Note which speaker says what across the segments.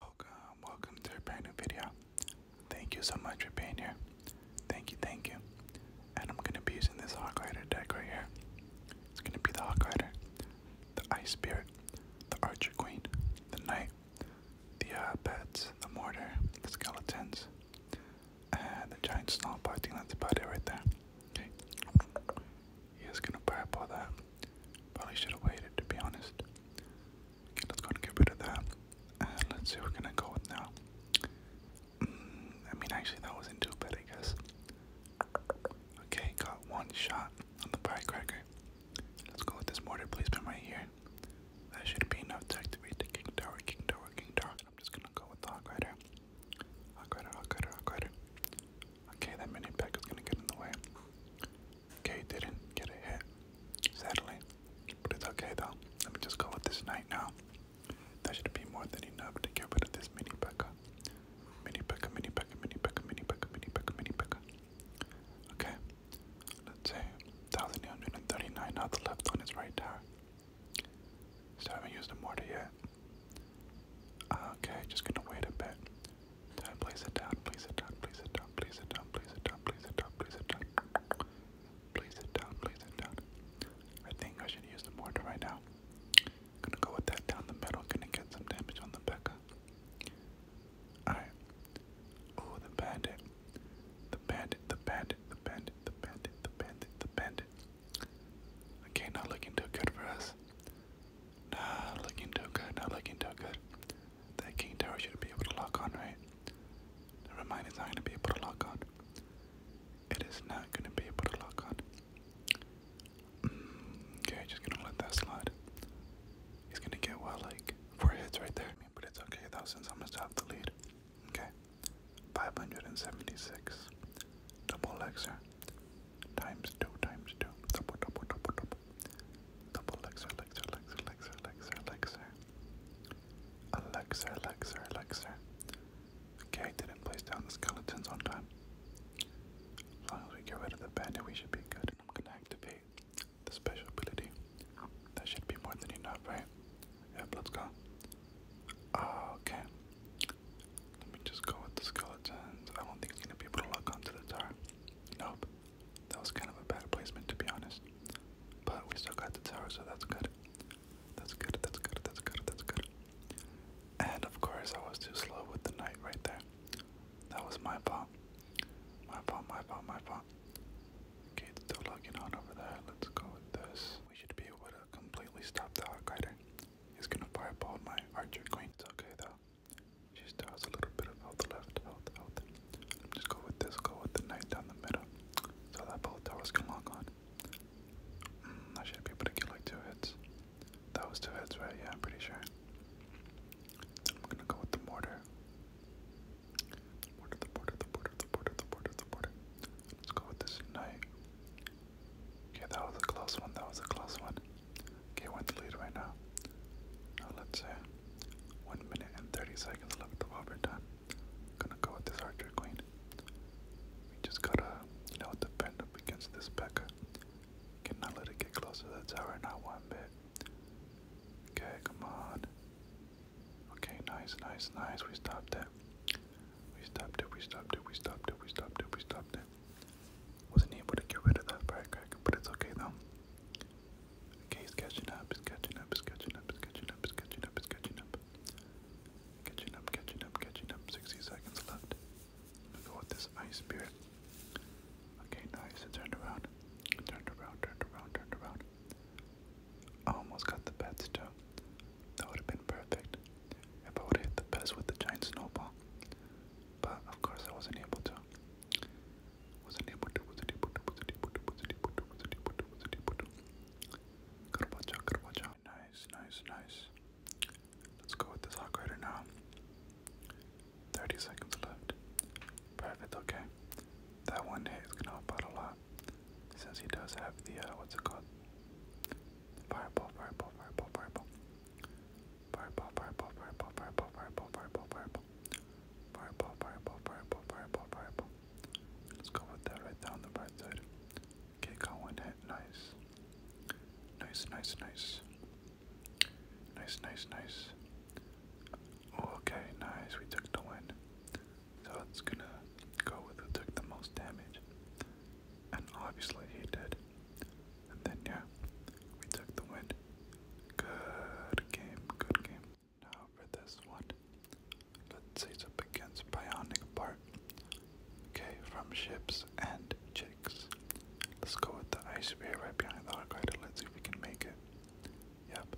Speaker 1: Welcome, welcome to a brand new video. Thank you so much for being here. Thank you, thank you. And I'm gonna be using this Hawk Rider deck right here. It's gonna be the Hawk Rider, the Ice Spirit, the Archer Queen, the Knight, the uh, Pets, the Mortar, the Skeletons, and the Giant Snowball. I that's about it right there. Okay. He is gonna prep all that. Probably should have waited to be honest let's go and get rid of that. let's see we're gonna go with now. Mm, I mean, actually, that wasn't too I guess. Okay, got one shot on the firecracker. Let's go with this mortar placement right here. That should be enough to activate the king tower, king tower, king tower. I'm just gonna go with the hawk rider. Hawk rider, hawk rider, hawk rider. Okay, that mini pack is gonna get in the way. Okay, didn't get a hit, sadly. But it's okay though. Let me just go with this knight now. That should be more than enough to get rid of this mini P.E.K.K.A. Mini P.E.K.K.A, mini P.E.K.K.A, mini P.E.K.K.A, mini P.E.K.K.A, mini P.E.K.K.A, Okay, let's see. 1839 now left on his right tower. Still haven't used a mortar yet. Okay, just gonna wait a bit. Please sit down, please sit down, please sit down, please sit down, please sit down, please sit down, please sit down. Please sit down, please sit down. I think I should use the mortar right now. Gonna go with that down the middle, gonna get some damage on the Becca. Alright. Oh, the bandit. The bandit, the bandit, the bandit, the bandit, the bandit, the bandit. Okay, not looking too good for us. Not looking too good, not looking too good. That king tower should be able to lock on, right? Never mind, it's not going to be able to lock on. It is not going to be able to lock on. Mm, okay, just going to let that slide. He's going to get, well, like, four hits right there. But it's okay, though, since I'm going to stop the lead. Okay. 576. Double Lexer. Times two, times two. Double, double, double, double. Double Lexer, Lexer, Lexer, Lexer, Lexer, Lexer. Alexer, Lexer, Lexer. Okay, I didn't place down the skeletons on time. As long as we get rid of the bandit, we should be good. I'm gonna activate the special ability. That should be more than enough, right? Yep, let's go. Uh, okay. Let me just go with the skeletons. I don't think it's gonna be able to lock onto the tower. Nope. That was kind of a bad placement to be honest. But we still got the tower, so that's good. That's good, that's good, that's good, that's good. And of course I was too slow with the knight right there. That was my fault. My fault, my fault, my fault. Okay, it's still logging on over there. Let's go with this. We should be able to completely stop the Hawk Rider. He's gonna fireball my archer queen. It's okay though. She still a little bit of health left, health, health. Just go with this, go with the knight down the middle. So that both towers can lock on. Mm, I should be able to get like two hits. That two hits, right? Yeah, I'm pretty sure. I'm gonna go with the mortar. mortar, the border, the border, the border, the border, the border. Let's go with this knight. Okay, that was a close one, that was a close one. Okay, want one's lead right now. Now let's say one minute and thirty seconds left of overtime. Gonna go with this archer queen. We just gotta, you know, defend up against this Pekka. Cannot let it get close to the tower, not one bit. Okay, come on. Okay, nice, nice, nice. We stopped it. We stopped it, we stopped it, we stopped it, we stopped it, we stopped it. Wasn't able to get rid of that firecracker, but it's okay though. Okay, he's catching up, he's catching up, he's catching up, he's catching up, he's catching up, he's catching up. Catching up, catching up, catching up. 60 seconds left. We'll go with this ice spirit. Okay, nice. It turned around. It turned around, turned around, turned around. I almost got the bets too. That would have been perfect. If I would have hit the best with the giant snowball. But of course I wasn't able to wasn't able to, wasn't able to, wasn't able to, wasn't able to, wasn't able to, wasn't able to. Caravaggio, Caravaggio. Nice, nice, nice. Let's go with this hot now. 30 seconds left. Perfect, okay. That one hit is gonna help out a lot. Since he does have the, uh, what's it called? Fireball, fireball, fireball, fireball purple, purple, purple, purple, purple, purple, purple, purple, purple, purple, purple, purple. Let's go with that right down the right Okay, got one hit. Nice. Nice, nice, nice. Nice, nice, nice. okay, nice. We took the win. So it's gonna go with who took the most damage. And obviously he did then, yeah, we took the win. Good game, good game. Now for this one, let's see up against Bionic Part. Okay, from Ships and Chicks. Let's go with the ice spear right behind the arc Let's see if we can make it. Yep,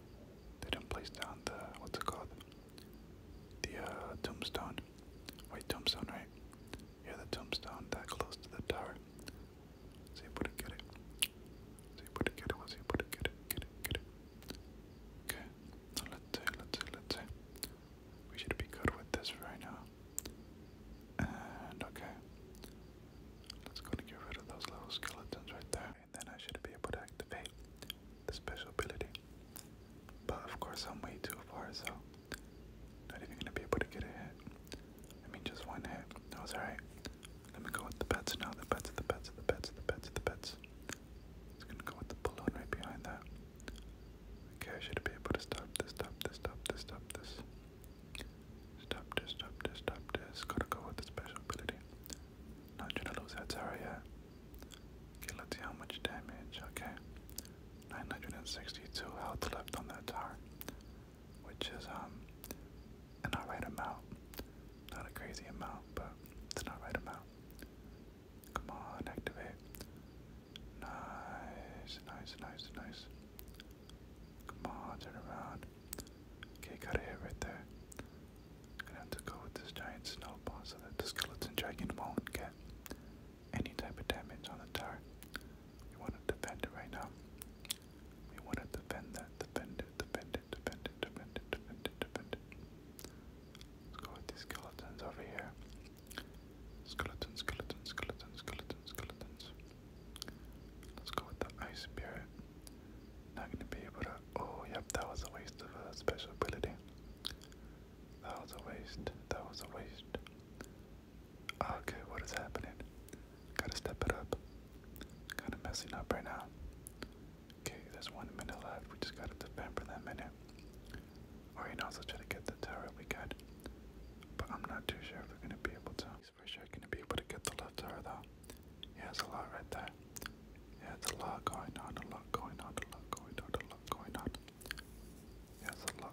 Speaker 1: they didn't place down the, what's it called? The uh, tombstone. Wait, tombstone, right? Yeah, the tombstone that close to the tower. See if we can get it. See if we can get it. see if we can get it. Get it. Get it. Okay. let's see. Let's see. Let's see. We should be good with this right now. And okay. Let's go and get rid of those little skeletons right there. And then I should be able to activate the special ability. But of course I'm way too far, so not even gonna be able to get a hit. I mean, just one hit. That was alright. Let me go with the bets now. The bets, the bets, the bets, the bets, the bets. It's gonna go with the balloon right behind that. Okay, I should be able to stop this, stop this, stop this, stop this. Stop this, stop this, stop this. Gotta go with the special ability. Not trying to lose that tower yet. Okay, let's see how much damage. Okay. 962 health left on that tower which is um an alright amount. Not a crazy amount, but it's an alright amount. Come on, activate. Nice, nice, nice, nice. Come on, turn around. Okay, got a hit right there. going have to go with this giant snowball so that the skeleton dragon won't get any type of damage on the tower. We want to defend it right now. We want to defend that. Defend it, defend it, defend it, defend it, defend it, defend it. Let's go with these skeletons over here. Skeletons, skeletons, skeletons, skeletons, skeletons. Let's go with the ice spirit. Not gonna be able to. Oh, yep, that was a waste of a special ability. That was a waste. That was a waste. Okay, what is happening? Gotta step it up. Kinda messing up right now. Okay, there's one minute left. We just gotta defend for that minute. Or you know, also try to get the tower we got. But I'm not too sure if we're gonna be able to. He's for sure gonna be able to get the left tower though. Yeah, it's a lot right there. Yeah, it's a lot going on, a lot going on, a lot going on, a lot going on. Yeah, it's a lot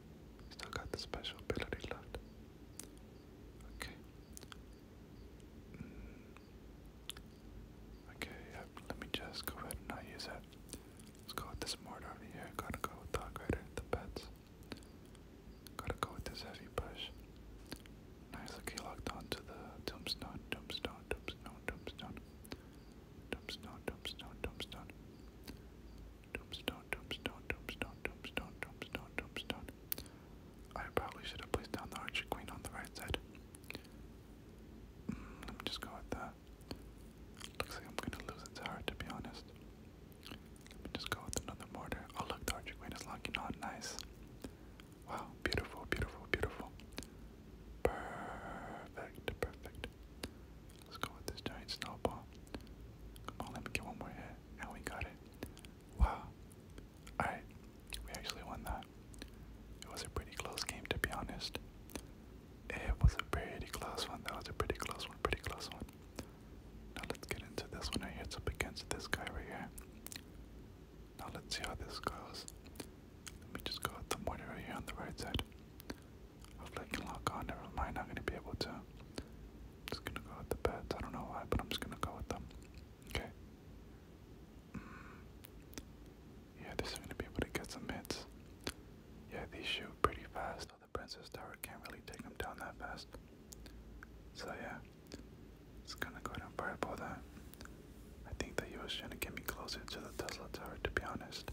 Speaker 1: Still got the special ability left. Okay. Mm. Okay, yep. let me just go ahead and use that. Let's go with this mortar here. Gotta go with Dog Rider, the pets. Gotta go with this heavy push. Nice, look, he locked onto the tombstone, tombstone, tombstone, tombstone. Tombstone, tombstone, tombstone. Tombstone, tombstone, tombstone, tombstone, tombstone, tombstone. I probably should have placed down the Archer Queen on the right side. Hmm, let me just go with that. Looks like I'm gonna lose its heart, to be honest. Let me just go with another mortar. Oh look, the Archer Queen is locking on. Nice. Wow, beautiful, beautiful, beautiful. Perfect, perfect, Let's go with this giant snowball. Come on, let me get one more hit. And we got it. Wow. Alright, we actually won that. It was a pretty close game, to be honest. It was a pretty close one. That was a pretty close one, pretty close one. Now let's get into this one right here. It's up against this guy right here. Now let's see how this goes. Let me just go with the mortar right here on the right side. Hopefully I can lock on. Never mind, not gonna be able to. just gonna go with the bets. I don't know why, but I'm just gonna go with them. Okay. Mm. Yeah, this is gonna be able to get some hits. Yeah, these shoot pretty fast. So the Princess Tower can't really take them down that fast. So yeah, it's gonna go ahead and fireball that. I think that he was trying to get me closer to the Tesla Tower, to be honest.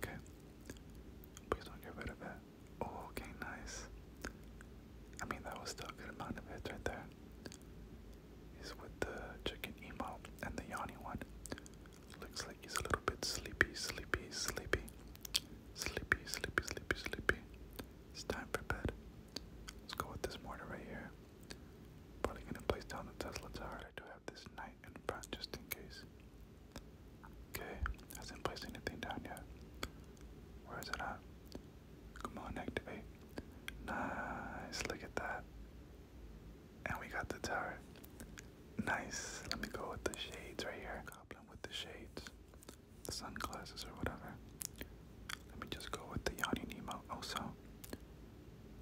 Speaker 1: Okay. Please don't get rid of it. Oh, okay, nice. I mean, that was still a good amount of hits right there. He's with the chicken emote and the yawny one. Looks like he's a little bit sleepy, sleepy, sleepy. Sleepy, sleepy, sleepy, sleepy. It's time for bed. Let's go with this mortar right here. Probably gonna place down the Tesla tower. I do have this night in front just in case. Okay, hasn't placed anything down yet. Where is it at? Come on, activate. Nice, look at that. And we got the tower. Nice. Let me go with the shades right here. Goblin with the shades. The sunglasses or whatever. Let me just go with the Yanni Nemo. also.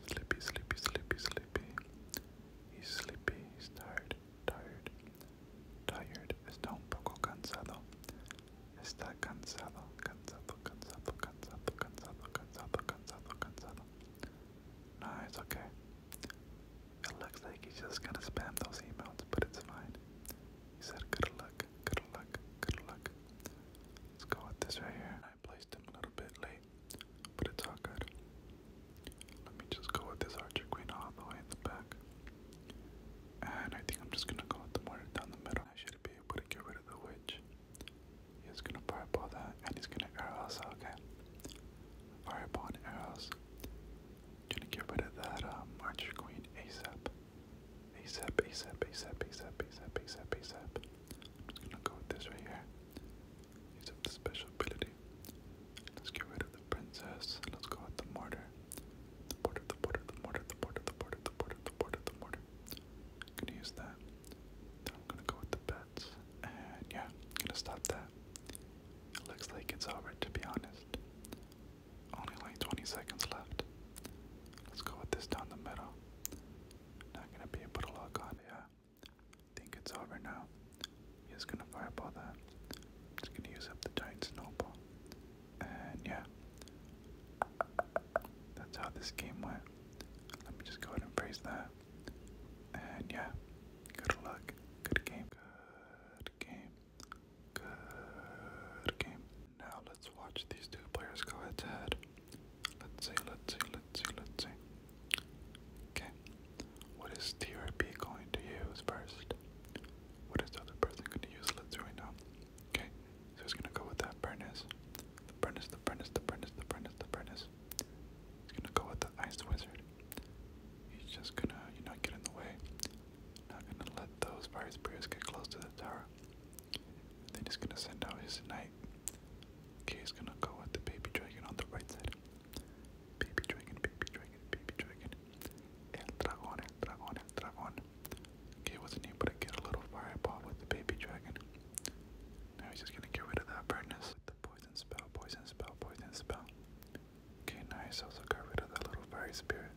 Speaker 1: Sleepy, sleepy, sleepy, sleepy. He's sleepy, he's tired, tired, tired. Está un poco cansado. Está cansado, cansado, cansado, cansado, cansado, cansado, cansado, cansado. No, it's okay. It looks like he's just gonna spam those emails, but it's fine. He said, good luck, good luck, good luck. Let's go with this right here. I placed him a little bit late, but it's all Let me just go with this archer queen all the way in the back. And I think I'm just gonna go with the mortar down the middle. I should be able to get rid of the witch. He's gonna fireball that and he's gonna arrow us, Fireball arrows. Gonna get rid of that um, archer queen ASAP. ASAP, ASAP, ASAP, ASAP, ASAP, ASAP, ASAP. just gonna go with this right here. Use up the special ability. Let's get rid of the princess. Let's go with the mortar. The mortar, the mortar, the mortar, the mortar, the mortar, the mortar, gonna use that. Then I'm gonna go with the bets. And yeah, gonna stop that. looks like it's over to be honest. Only like 20 seconds left. Let's go with this down the middle. Not gonna be able yeah. Think it's over now. He's gonna fireball that. Just gonna use up the giant snowball. And yeah. That's how this game went. Let me just go ahead and praise that. And yeah. Good luck. Good game. Good game. Good game. Now let's watch these two players go head to head. Let's see, let's see, let's see, let's see. Okay. What is TRP going to use first? What is the other person going to use? Let's do right now. Okay, so he's going to go with that furnace. The furnace, the furnace, the furnace, the furnace, the furnace. He's going to go with the ice wizard. He's just going to, you know, get in the way. Not going to let those fire spears get close to the tower. And then he's going to send out his knight right. Okay, he's gonna go with the baby dragon on the right side. Baby dragon, baby dragon, baby dragon. El dragon, el dragon, el dragon. Okay, wasn't able to get a little fireball with the baby dragon. Now he's just gonna get rid of that burntness with the poison spell, poison spell, poison spell. Okay, nice. Also got rid of that little fire spirit.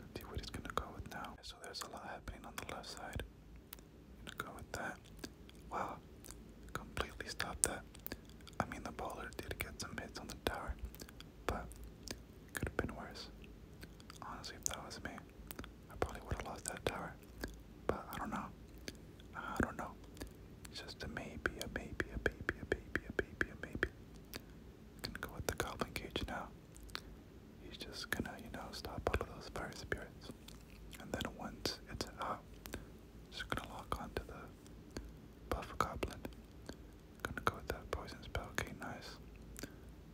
Speaker 1: Let's see what he's gonna go with now. So there's a lot happening on the left side gonna go with that. Wow, completely stopped that. I mean, the bowler did get some hits on the tower, but it could have been worse. Honestly, if that was me, I probably would have lost that tower. But I don't know. I don't know. It's just a maybe, a maybe, a maybe, a maybe, a maybe, a maybe. Gonna go with the goblin cage now. He's just gonna, you know, stop all of those fire spirits and then once it's out, just gonna lock onto the buff goblin. Gonna go with that poison spell. Okay, nice.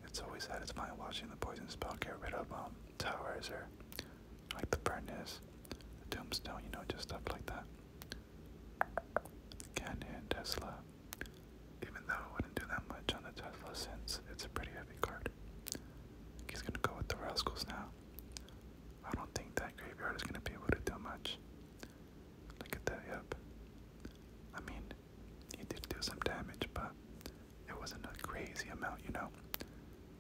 Speaker 1: It's always satisfying watching the poison spell get rid of um towers or like the furnace, the tombstone, you know, just stuff like that. Cannon, Tesla. Even though I wouldn't do that much on the Tesla since it's a pretty heavy card. He's gonna go with the Rascals now. I don't think that graveyard is going to be able to do much. Look at that, yep. I mean, he did do some damage, but it wasn't a crazy amount, you know?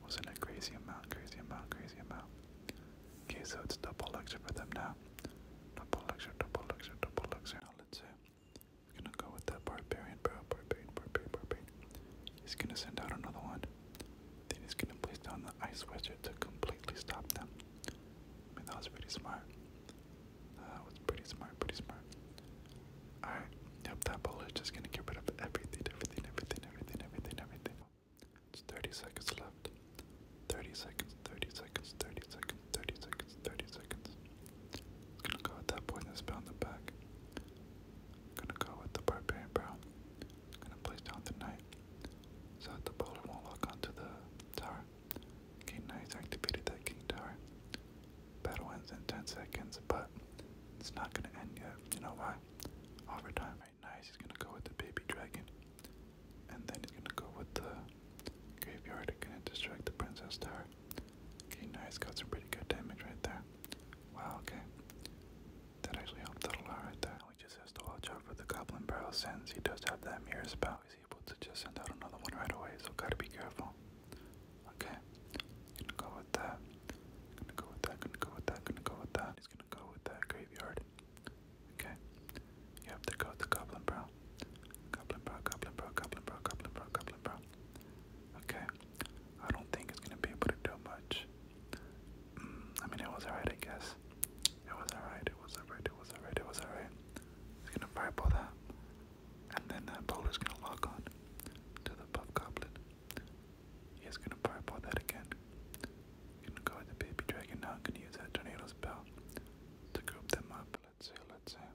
Speaker 1: wasn't a crazy amount, crazy amount, crazy amount. Okay, so it's double elixir for them now. Double elixir, double elixir, double elixir. let's see. gonna go with that He's gonna send out another one. Then he's gonna place down the ice widget to completely stop them. I mean, that was pretty smart. That was pretty smart, pretty smart. Alright, yep, that bullet's just gonna get rid of everything, everything, everything, everything, everything, everything. It's 30 seconds left. 30 seconds, 30 seconds, 30 seconds, 30 seconds, 30 seconds. It's gonna go at that point and spell in the back. Gonna go with the barbarian brow. Gonna place down the knight. So that the bowler won't lock onto the tower. King knight's activated that king tower. Battle ends in 10 seconds, but it's not gonna end yet. You know why? Overtime right nice, he's gonna go with the baby dragon. And then he's gonna go with the graveyard, gonna distract the princess tower. King knight's got some pretty good damage right there. Wow, okay. That actually helped a lot right there. He just has to watch out for the goblin barrel since he does have that mirror spell. He's able to just send out another one right away, so gotta be careful. Okay. Gonna go with that. Gonna go with that, gonna go with that, gonna go with that. He's gonna go with that graveyard. Okay. You have to go with the goblin brow. Goblin brow, goblin brow, goblin brow, goblin brow, goblin brow. Okay. I don't think it's gonna be able to do much. Mm, I mean, it was alright, I guess. It was alright. It was alright. It was alright. It was alright. It's gonna fireball that, and then that bowler's gonna lock on to the puff goblin. He's gonna fireball that again. Gonna go with the baby dragon now. gonna use that tornado spell to group them up. Let's see. Let's see.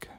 Speaker 1: Okay.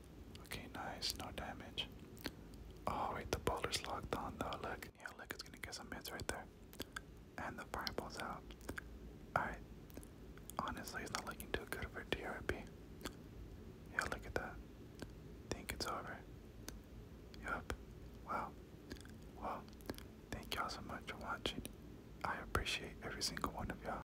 Speaker 1: Okay, nice, no damage. Oh wait, the boulder's locked on though, look. Yeah, look, it's gonna get some hits right there. And the fireball's out. Alright. Honestly, it's not looking too good for D R P. Yeah, look at that. Think it's over. Yup. Wow. Well, thank y'all so much for watching. I appreciate every single one of y'all.